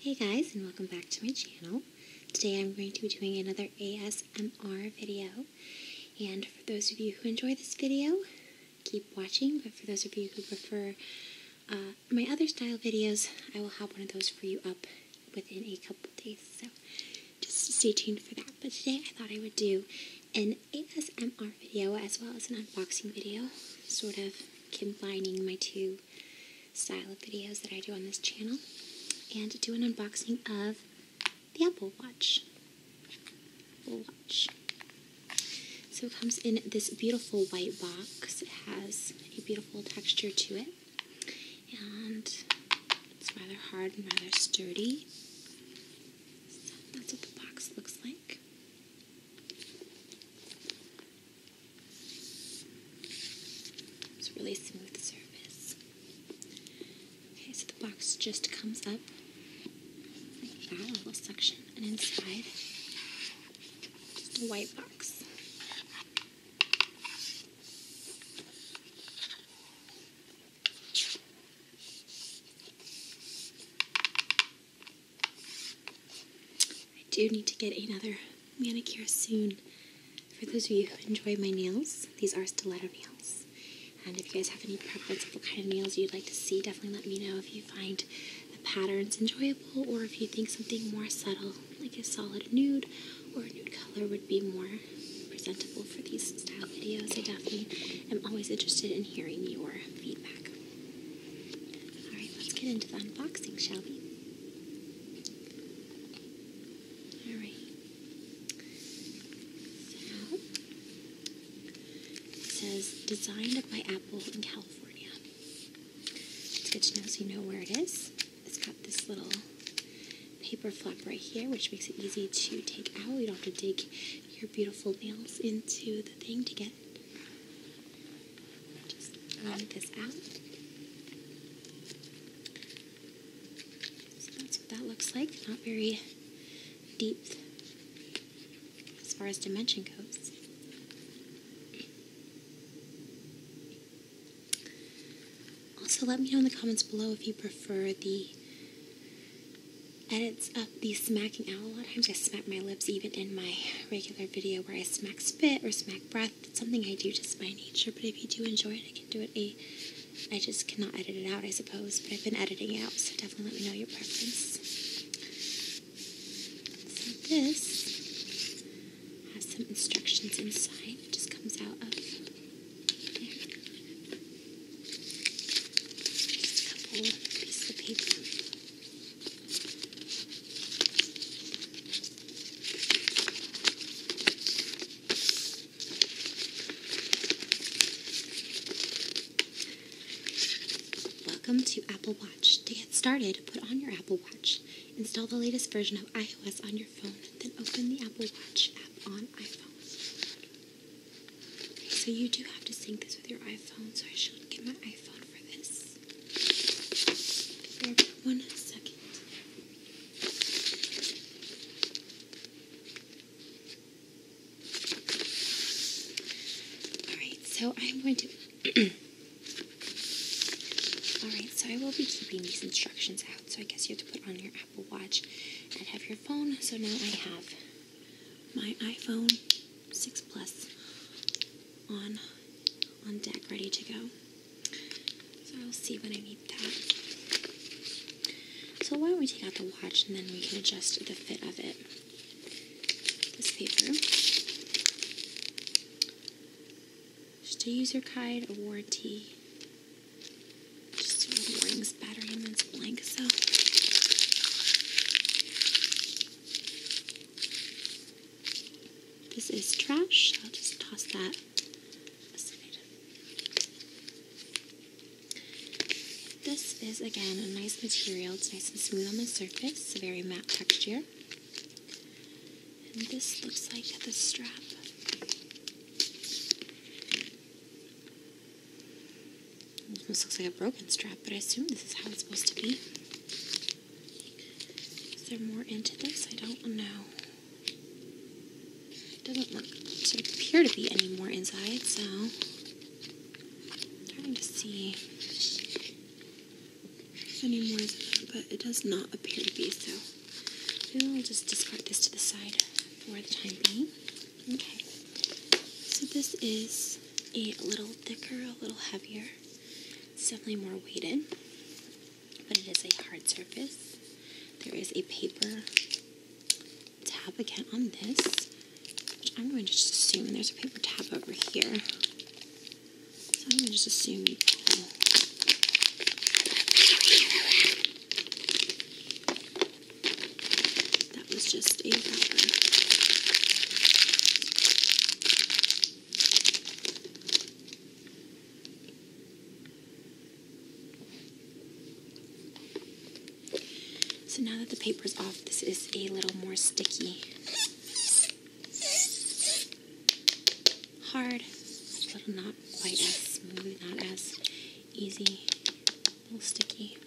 Hey guys and welcome back to my channel. Today I'm going to be doing another ASMR video and for those of you who enjoy this video keep watching but for those of you who prefer uh, my other style videos I will have one of those for you up within a couple days so just stay tuned for that but today I thought I would do an ASMR video as well as an unboxing video sort of combining my two unboxing style of videos that I do on this channel and do an unboxing of the Apple Watch. Watch. So it comes in this beautiful white box. It has a beautiful texture to it and it's rather hard and rather sturdy. that's what the box looks like. It's a really smooth surface. Okay, so the box just comes up like that, little section, and inside, just a white box. I do need to get another manicure soon. For those of you who enjoy my nails, these are stiletto nails. And if you guys have any preference for what kind of nails you'd like to see, definitely let me know if you find the patterns enjoyable or if you think something more subtle, like a solid nude or a nude color would be more presentable for these style videos. I definitely am always interested in hearing your feedback. Alright, let's get into the unboxing, shall we? All right. it says designed by Apple in California. It's good to know so you know where it is. It's got this little paper flap right here, which makes it easy to take out. You don't have to dig your beautiful nails into the thing to get it. Just blend this out. that's what that looks like. Not very deep as far as dimension goes. Also, let me know in the comments below if you prefer the edits of the smacking out. A lot of times I smack my lips even in my regular video where I smack spit or smack breath it's something I do just by nature, but if you do enjoy it, I can do it I just cannot edit it out, I suppose, but I've been editing it out, so definitely let me know your preference. So this has some instructions inside. It just comes out of a couple of paper. Welcome to Apple Watch. To get started, put on your Apple Watch. Install the latest version of iOS on your phone, then open the Apple Watch app on iPhone. Okay, so you do have to sync this with your iPhone, so I should get my iPhone for this one second. Alright, so I'm going to. Alright, so I will be keeping these instructions out. So I guess you have to put on your Apple Watch and have your phone. So now I have my iPhone 6 Plus on on deck ready to go. So I'll see when I need that. So why don't we take out the watch and then we can adjust the fit of it. This paper. Just a user guide, a warranty. Just a warnings, battery, and it's blank, so this is trash. I'll just toss that This is again a nice material. It's nice and smooth on the surface, a very matte texture. And this looks like the strap. This looks like a broken strap, but I assume this is how it's supposed to be. Is there more into this? I don't know. Doesn't look to appear to be any more inside, so I'm trying to see if any more is but it does not appear to be so. Maybe we'll just discard this to the side for the time being. Okay. So this is a little thicker, a little heavier. It's definitely more weighted but it is a hard surface. There is a paper tab again on this, which I'm going to just assume, there's a paper tab over here. So I'm going to just assume That was just a rubber. So now that the paper is off, this is a little more sticky. Hard, a little not quite as smooth, not as easy, a little sticky.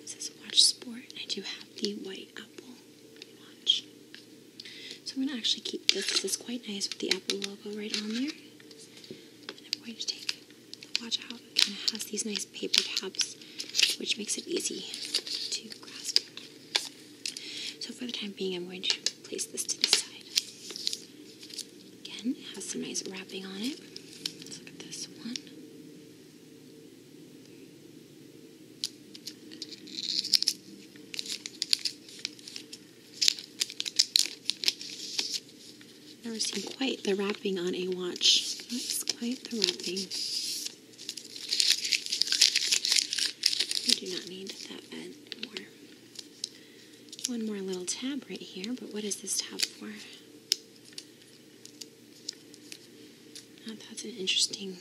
This is watch sport, and I do have the white apple watch. So I'm going to actually keep this because it's quite nice with the apple logo right on there. And I'm going to take the watch out. It kind of has these nice paper tabs, which makes it easy to grasp. So for the time being, I'm going to place this to the side. Again, it has some nice wrapping on it. Let's look at this one. Never seen quite the wrapping on a watch. That's quite the wrapping. We do not need that bed One more little tab right here, but what is this tab for? Oh, that's an interesting.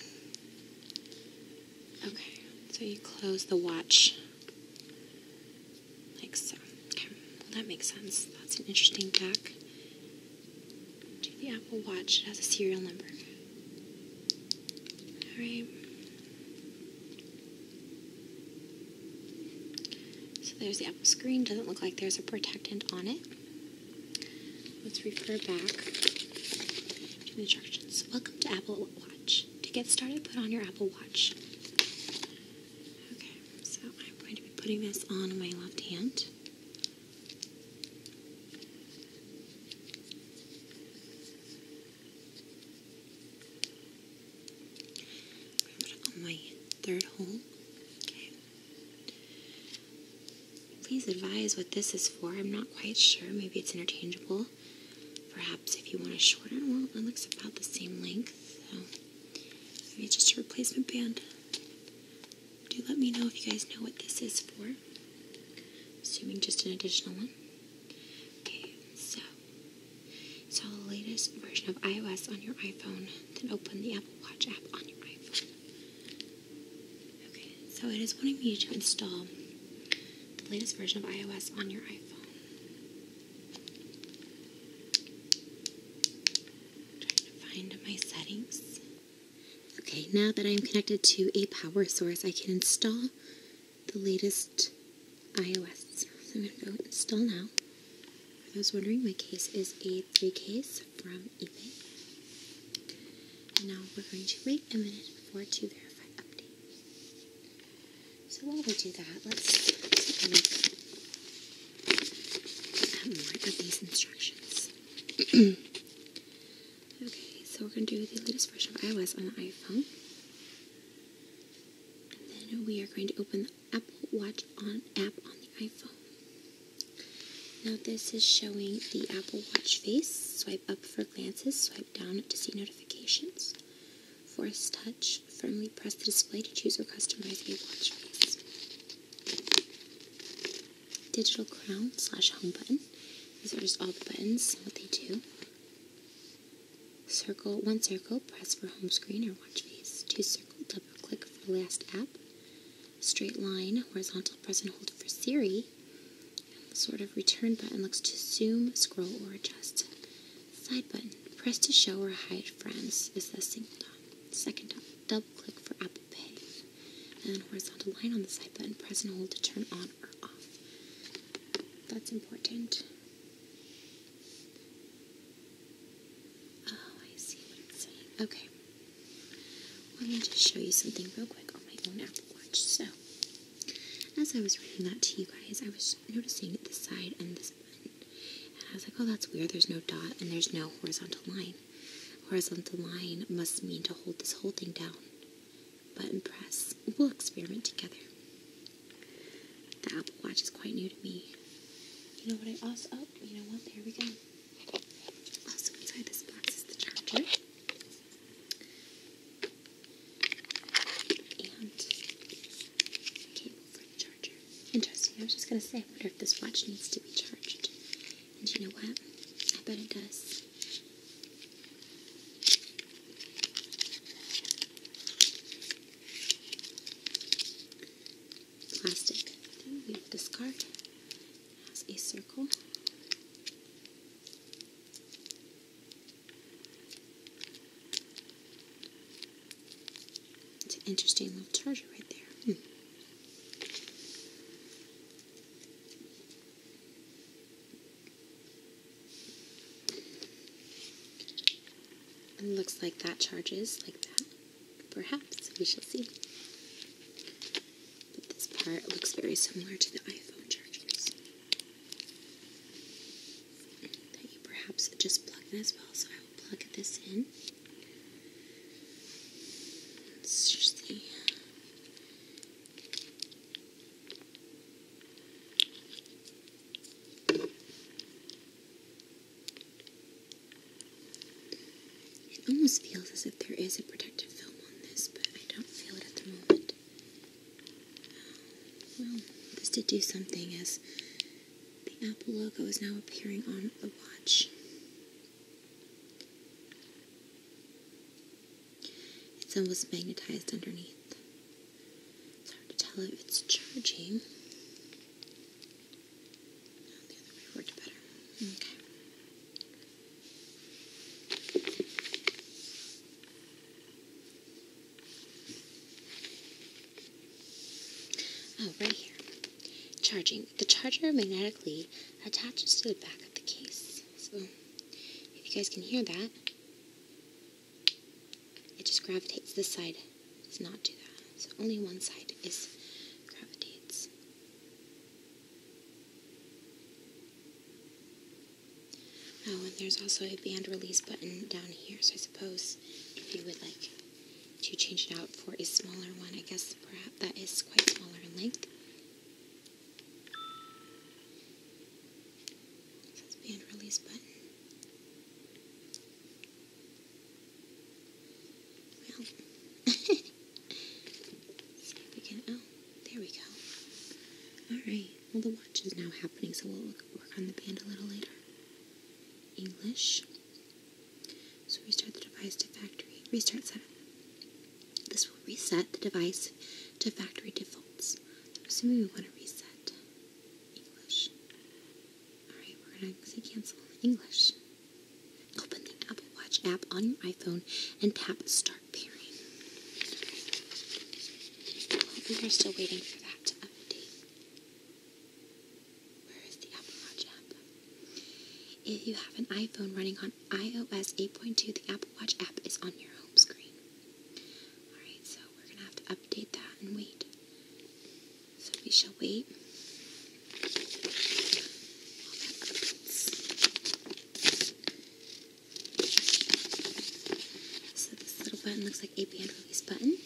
Okay, so you close the watch like so. Okay, that makes sense. That's an interesting back to the Apple Watch. It has a serial number. All right. So there's the Apple screen. Doesn't look like there's a protectant on it. Let's refer back to the instructions. Welcome to Apple Watch. To get started, put on your Apple Watch. Okay, so I'm going to be putting this on my left hand. put it on my third hole. Okay. Please advise what this is for. I'm not quite sure. Maybe it's interchangeable. Perhaps if you want to shorten, well, it looks about the same length. So maybe just a replacement band. Do let me know if you guys know what this is for. Assuming just an additional one. Okay, so install the latest version of iOS on your iPhone, then open the Apple Watch app on your iPhone. Okay, so it is wanting you to install the latest version of iOS on your iPhone. trying to find my settings. Okay, now that I am connected to a power source, I can install the latest iOS. So I'm going to go install now. I was wondering, my case is a 3 case from and now we're going to wait a minute for to verify update. So while we do that, let's take a look at these instructions. okay, so we're going to do the latest version of iOS on the iPhone. And then we are going to open the Apple Watch on app on the iPhone. Now this is showing the Apple Watch face. Swipe up for glances, swipe down to see notifications. Force touch, firmly press the display to choose or customize a watch face. Digital crown slash home button. These are just all the buttons, what they do. Circle, one circle, press for home screen or watch face. Two circle, double click for last app straight line, horizontal press and hold for Siri. the sort of return button looks to zoom, scroll, or adjust. Side button, press to show or hide friends is the single dot. Second dot, double click for Apple Pay. And horizontal line on the side button, press and hold to turn on or off. That's important. Oh, I see what it's saying. Okay. Well, I'll just show you something real quick on my own Apple Watch. So, as I was reading that to you guys, I was noticing this side and this button. And I was like, oh, that's weird. There's no dot and there's no horizontal line. Horizontal line must mean to hold this whole thing down. Button press. We'll experiment together. The Apple Watch is quite new to me. You know what I also, oh, you know what, there we go. Also inside this box is the charger. And cable for the charger. Interesting. I was just gonna say, I wonder if this watch needs to be charged. And you know what? I bet it does. Plastic. We discard has a circle. It's an interesting little charger right there. Hmm. looks like that charges like that. Perhaps we shall see. But this part looks very similar to the iPhone chargers perhaps just plug this in. Let's just see. It almost feels as if there is a protective film on this, but I don't feel it at the moment. Um, well, this did do something as the Apple logo is now appearing on the watch. It's almost magnetized underneath. It's hard to tell if it's charging. Oh, the other way worked better. Okay. Oh, right here. Charging. The charger magnetically attaches to the back of the case. So, if you guys can hear that, it just gravitates. This side does not do that. So, only one side is gravitates. Oh, and there's also a band release button down here, so I suppose if you would like to change it out for a smaller one, I guess perhaps that is quite smaller in length. band release button. Well, there we go. Oh, Alright, well, the watch is now happening, so we'll work on the band a little later. English. So restart the device to factory. Restart setup. This will reset the device to factory defaults. assuming we want to reset English. Alright, we're going to say cancel English. Open the Apple Watch app on your iPhone and tap Start Pairing. We are still waiting for that to update. Where is the Apple Watch app? If you have an iPhone running on iOS 8.2, the Apple Watch app is on your home screen. Alright, so we're going to have to update that and wait. So we shall wait. So this little button looks like a band release button.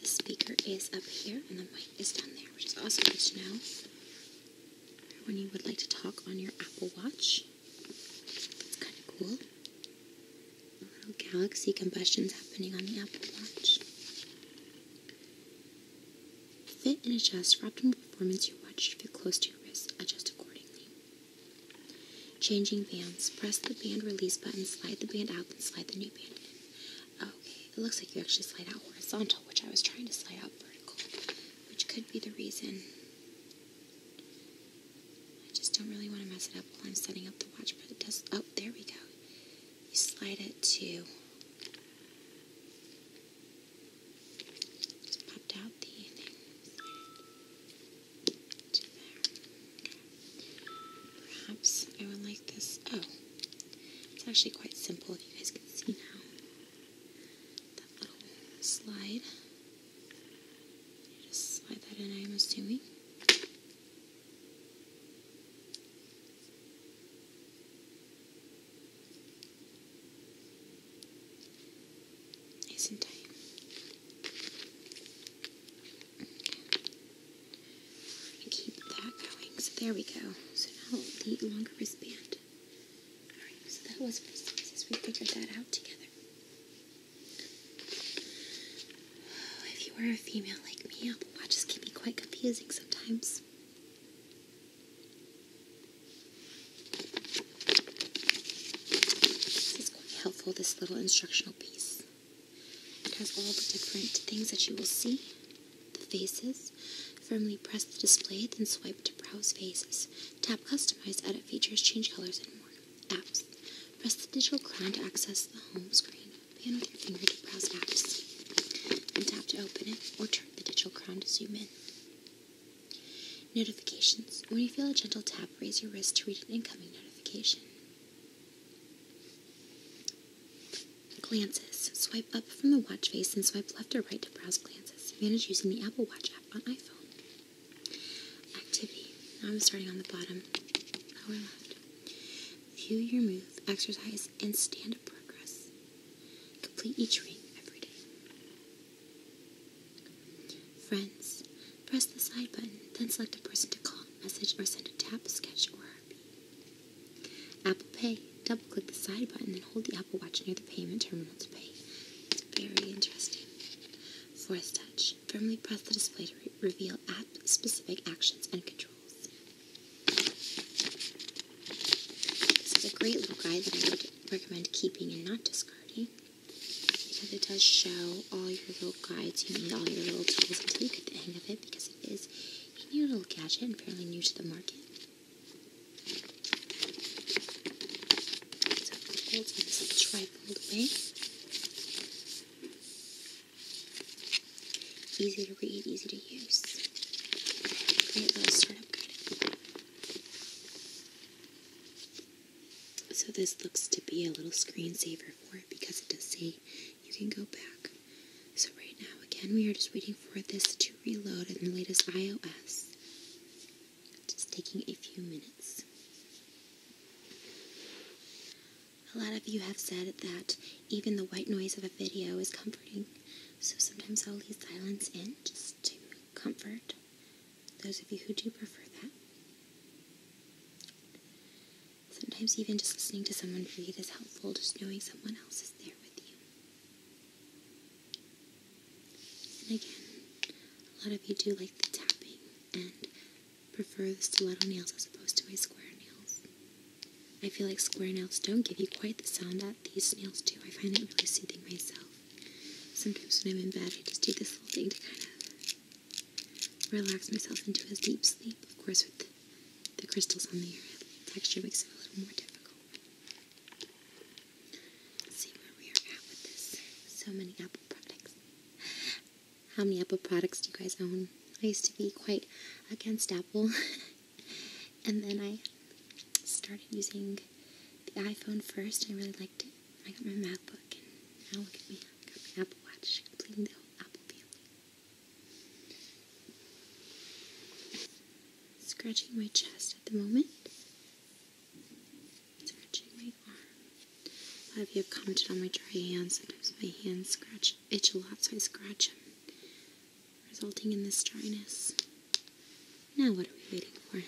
The speaker is up here and the mic is down there, which is awesome good to know when you would like to talk on your Apple Watch. that's kind of cool. A little galaxy combustion is happening on the Apple Watch. Fit and adjust for optimal performance your watch should fit close to your wrist. Adjust accordingly. Changing bands. Press the band release button, slide the band out, then slide the new band in. Okay, it looks like you actually slide out horizontal, which I was trying to slide out vertical, which could be the reason. I just don't really want to mess it up while I'm setting up the watch, but it does. Oh, there we go. You slide it to just popped out the thing there. Perhaps I would like this. Oh, it's actually quite simple. If you guys can see now, that little slide. just slide that in. I'm assuming. Nice and tight. Keep that going. there we go. So now the longer wristband. Alright, so that was for sizes. We figured that out together. if you were a female like me, Apple Watches can be quite confusing sometimes. This is quite helpful, this little instructional piece. It has all the different things that you will see. The faces. Firmly press the display, then swipe to browse faces. Tap Customize, edit features, change colors, and more. Apps. Press the digital crown to access the home screen. Pan with your finger to browse apps. And tap to open it, or turn the digital crown to zoom in. Notifications. When you feel a gentle tap, raise your wrist to read an incoming notification. Glances. Swipe up from the watch face and swipe left or right to browse glances. Manage using the Apple Watch app on iPhone. Activity. Now I'm starting on the bottom. Lower left. View your move, exercise, and stand progress. Complete each ring every day. Friends, press the side button, then select a person to call, message, or send a tap, sketch, or RP. Apple Pay, double click the side button, then hold the Apple Watch near the payment terminal to pay. It's very interesting. Force touch, firmly press the display to reveal app specific actions and controls. This is a great little guide that I would recommend keeping and not discarding because it does show all your little guides you need, all your little tools until you get the hang of it because it is a new little gadget apparently new to the market. So it folds in this little trifold way. Easy to read, easy to use. Great little startup guide. So this looks to be a little screensaver for it because it does say you can go back. So right now, again, we are just waiting for this to reload in the latest iOS. It's taking a few minutes. A lot of you have said that even the white noise of a video is comforting, so sometimes I'll leave silence in just to comfort, those of you who do prefer that. Sometimes even just listening to someone breathe is helpful, just knowing someone else is there with you. And again, a lot of you do like the tapping and prefer the stiletto nails as opposed to my square nails. I feel like square nails don't give you quite the sound that these nails do. I find it really soothing myself. Sometimes when I'm in bed, I just do this little thing to kind of relax myself into a deep sleep. Of course, with the, crystals on the texture makes it a little more difficult. see where we are at with this. So many Apple products. How many Apple products do you guys own? I used to be quite against Apple. and then I started using the iPhone first, I really liked it. I got my MacBook, and now look at me. I got my Apple Watch, completing the whole Apple family. Scratching my chest at the moment. Scratching my arm. A lot of you have commented on my dry hands. Sometimes my hands scratch, itch a lot, so I scratch them, resulting in this dryness. Now what are we waiting for?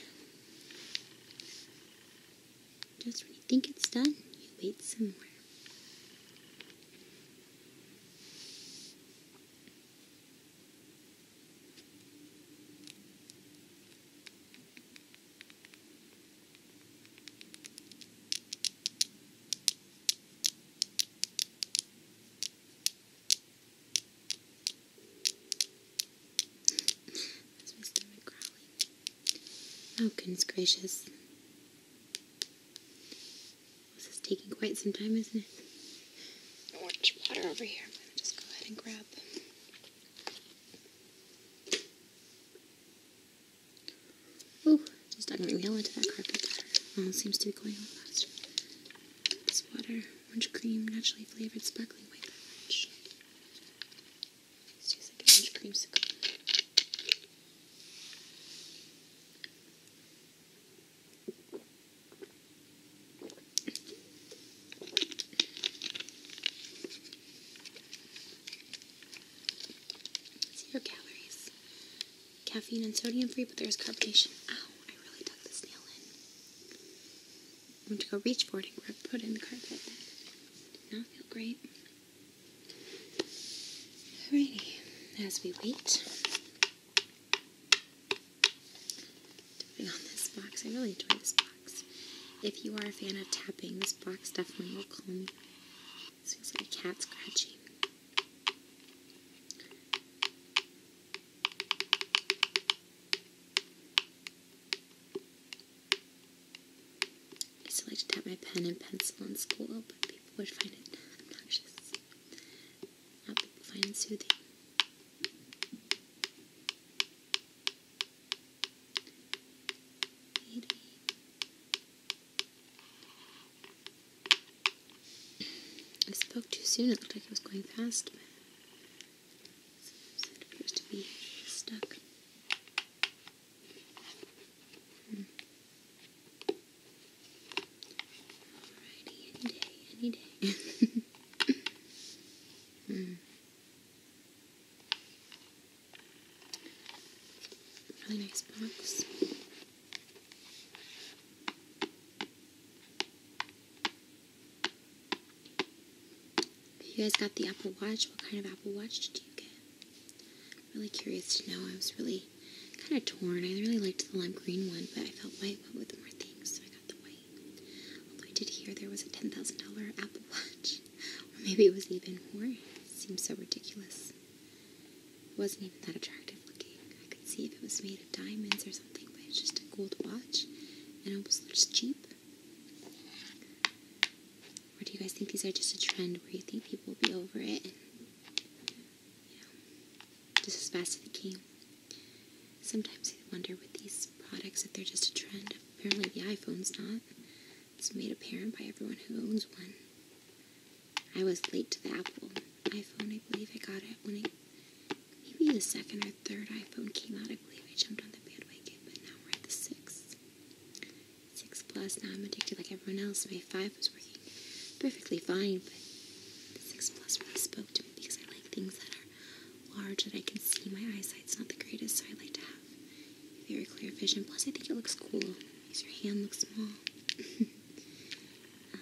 Just when you think it's done, you wait some more. That's my Oh, goodness gracious. This is taking quite some time, isn't it? Orange water over here. I'm going to just go ahead and grab. Oh, just not going to into that carpet. Oh, seems to be going on faster. water orange cream, naturally flavored sparkling white beverage. Let's use like an orange creamsicle. Zero calories. Caffeine and sodium free, but there's carbonation. Oh, I really dug this nail in. I am going to go reach for it and put it in the carpet. Did not feel great. Alrighty, as we wait, putting on this box. I really enjoy this box. If you are a fan of tapping, this box definitely will calm you. This feels like a cat scratching. I used to like to tap my pen and pencil in school, but people would find it obnoxious. Now people find it soothing. I spoke too soon. It looked like it was going fast. So it appears to be stuck. Alrighty, any day, any day. Really nice box. You guys got the Apple Watch. What kind of Apple Watch did you get? really curious to know. I was really kind of torn. I really liked the lime green one, but I felt white went with more things, so I got the white. Although I did hear there was a $10,000 Apple Watch. maybe it was even more. It seems so ridiculous. It wasn't even that attractive looking. I could see if it was made of diamonds or something something, but it's just a gold watch and it almost looks cheap. Or do you guys think these are just a trend where you think people will be over it and, you know, just as fast as it came? Sometimes I wonder with these products if they're just a trend. Apparently, the iPhone's not. It's made apparent by everyone who owns one. I was late to the Apple iPhone. I believe I got it when it Maybe the second or third iPhone came out. I believe I jumped on the bandwagon, but now we're at the six, Six Plus, now I'm addicted like everyone else. My five was working perfectly fine, but the six Plus really spoke to me because I like things that are large that I can see. My eyesight's not the greatest, so I like to have very clear vision. Plus, I think it looks cool. Makes your hand look small. Um,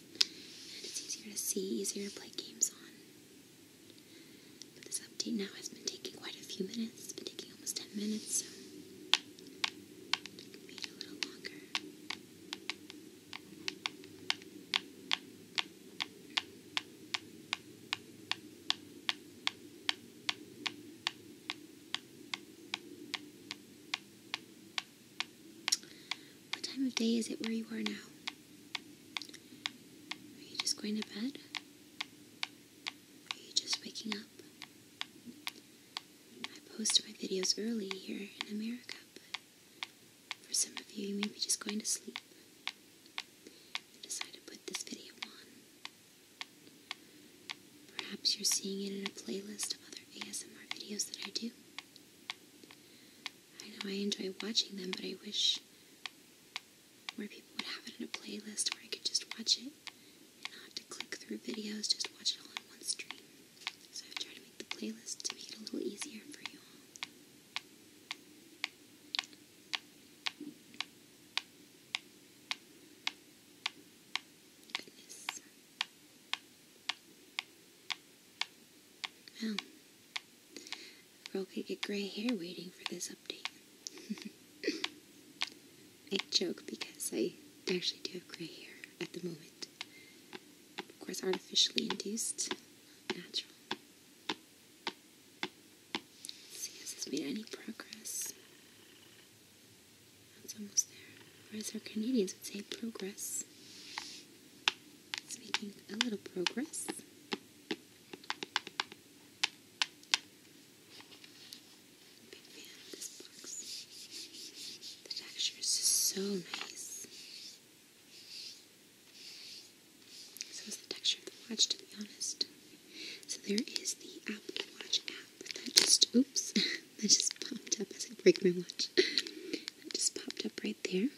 and it's easier to see, easier to play games on. But this update now has been taking quite a few minutes. It's been taking almost 10 minutes, so it can wait a little longer. What time of day is it where you are now? Are you just going to bed? Are you just waking up? I post my videos early here in America, but for some of you, you may be just going to sleep. I decide to put this video on. Perhaps you're seeing it in a playlist of other ASMR videos that I do. I know I enjoy watching them, but I wish more people would have it in a playlist where I could just watch it and not have to click through videos, just watch it all in one stream. So I've tried to make the playlist to make it a little easier for you all. Well, girl could get gray hair waiting for this update. I joke because I actually do have gray hair at the moment. Of course, artificially induced, natural. see, has this made any progress? That's almost there. Whereas our Canadians would say, progress. It's making a little progress. big fan of this box. The texture is so nice. So is the texture of the watch, to be honest. So there is the Apple Watch app that just, oops, that just popped up as I break my watch. It just popped up right there.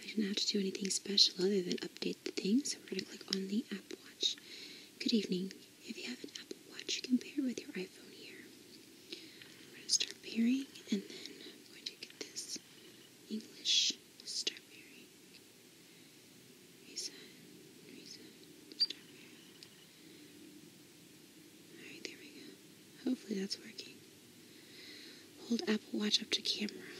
I didn't have to do anything special other than update the thing, so we're going to click on the app Watch. Good evening. If you have an Apple Watch, you can pair with your iPhone here. We're going to start pairing, and then I'm going to get this English strawberry. Reset, reset, there we go. Hopefully that's working. Hold Apple Watch up to camera.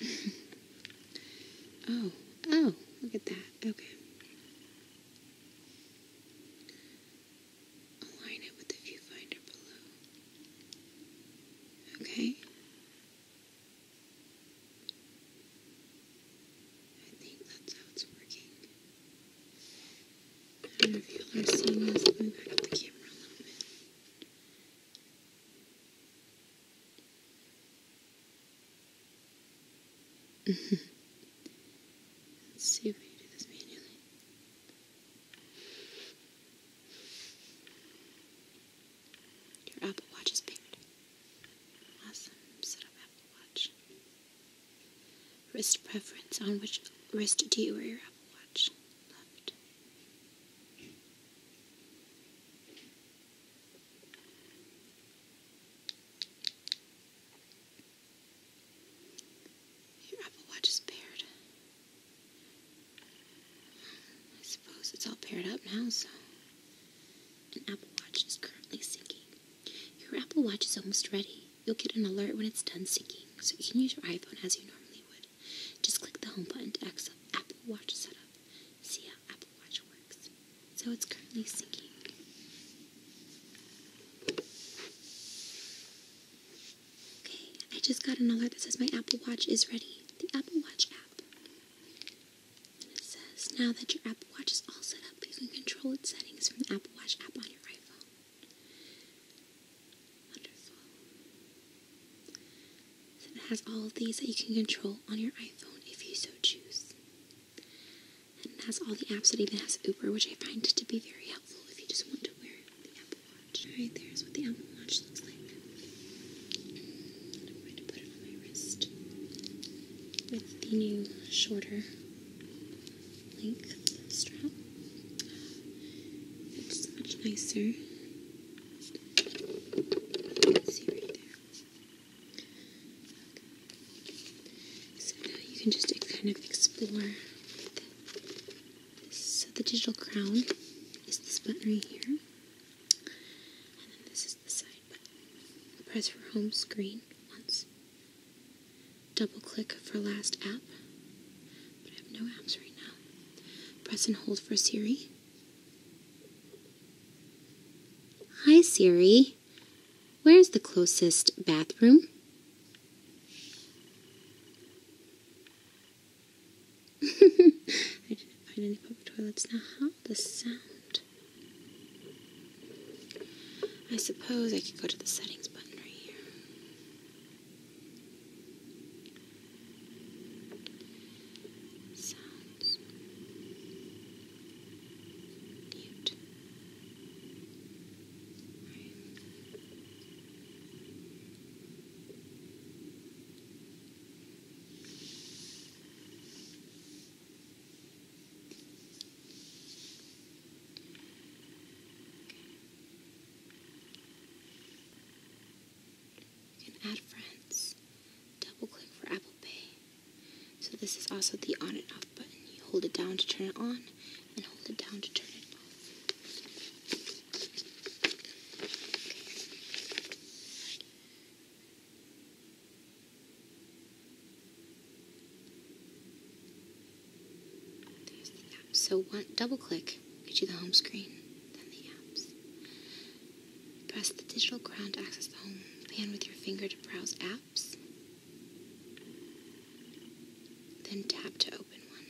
oh, oh, look at that. Okay. Align it with the viewfinder below. Okay. I think that's how it's working. I don't know if y'all are seeing this. Let me back up the camera a little bit. Let's see if I can do this manually. Your Apple Watch is paired. Awesome. Set Apple Watch. Wrist preference on which wrist do you wear your Apple Watch? Your Apple Watch is paired. I suppose it's all paired up now, so an Apple Watch is currently syncing your Apple Watch is almost ready. You'll get an alert when it's done syncing, so you can use your iPhone as you normally would. Just click the home button to access Apple Watch setup. See how Apple Watch works. So it's currently syncing. Okay, I just got an alert that says my Apple Watch is ready. The Apple Watch app. it says now that your Apple Watch is all set up, you can control its settings from the Apple Watch app on your iPhone it has all of these that you can control on your iPhone if you so choose. And it has all the apps. It even has Uber, which I find to be very helpful if you just want to wear the Apple Watch. Alright, there's what the Apple Watch looks like. I'm going to put it on my wrist with the new shorter length strap. It's much nicer. So now you can just kind of explore So the digital crown is this button right here. And then this is the side button. Press for home screen once. Double click for last app, but I have no apps right now. Press and hold for Siri. Hi Siri, where's the closest bathroom? I didn't find any public toilets. Now, how the sound. I suppose I could go to the settings button right here. Sounds. Mute add friends. Double click for Apple Pay. So this is also the on and off button. You hold it down to turn it on and hold it down to turn it off. So double click Get you the home screen, Press the digital crown to access the home pan with your finger to browse apps. Then tap to open one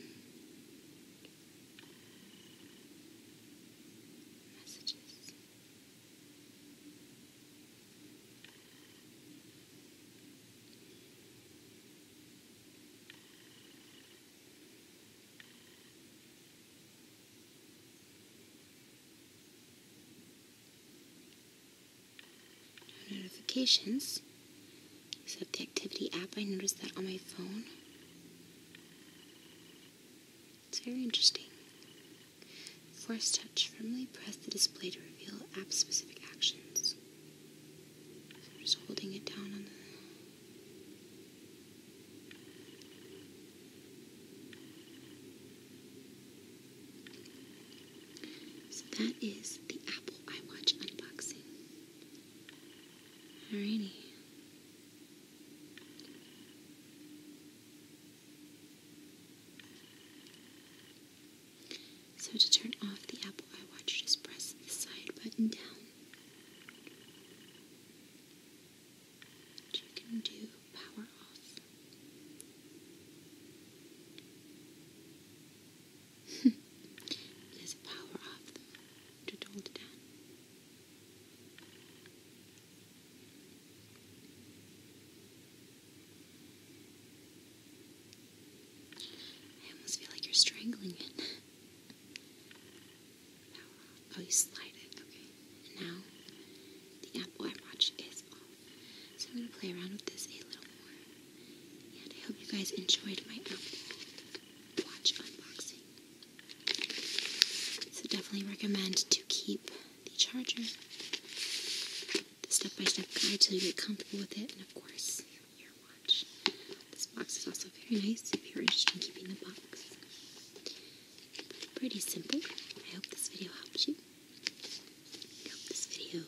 notifications. So the activity app, I noticed that on my phone. It's very interesting. Force touch, firmly press the display to reveal app-specific actions. I'm just holding it down on the so that is the Apple iWatch unboxing. Alrighty. So to turn off the Apple iWatch, just press the side button down. you can do power off. it is power off to hold it down. I almost feel like you're strangling it. oh, you slide it. Okay. And now the Apple Watch is off. So I'm going to play around with this a little more. And I hope you guys enjoyed my Apple Watch unboxing. So definitely recommend to keep the charger the step by step guide until you get comfortable with it, and of course, your watch. This box is also very nice if you're interested in keeping the box. Pretty simple. I hope this video helped you. I hope this video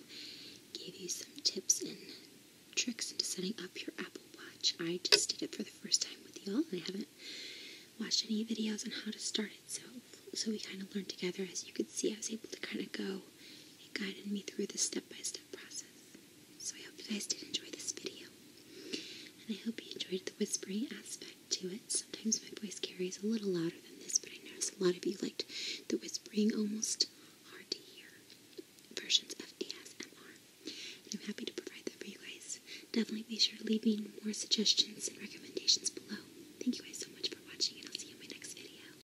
gave you some tips and tricks into setting up your Apple Watch. I just did it for the first time with y'all, and I haven't watched any videos on how to start it, so so we kind of learned together. As you could see, I was able to kind of go he guided me through the step-by-step process. So I hope you guys did enjoy this video. And I hope you enjoyed the whispering aspect to it. Sometimes my voice carries a little louder than this, but I noticed a lot of you liked the whispering almost hard to hear versions of ASMR. I'm happy to provide that for you guys. Definitely be sure to leave me more suggestions and recommendations below. Thank you guys so much for watching, and I'll see you in my next video.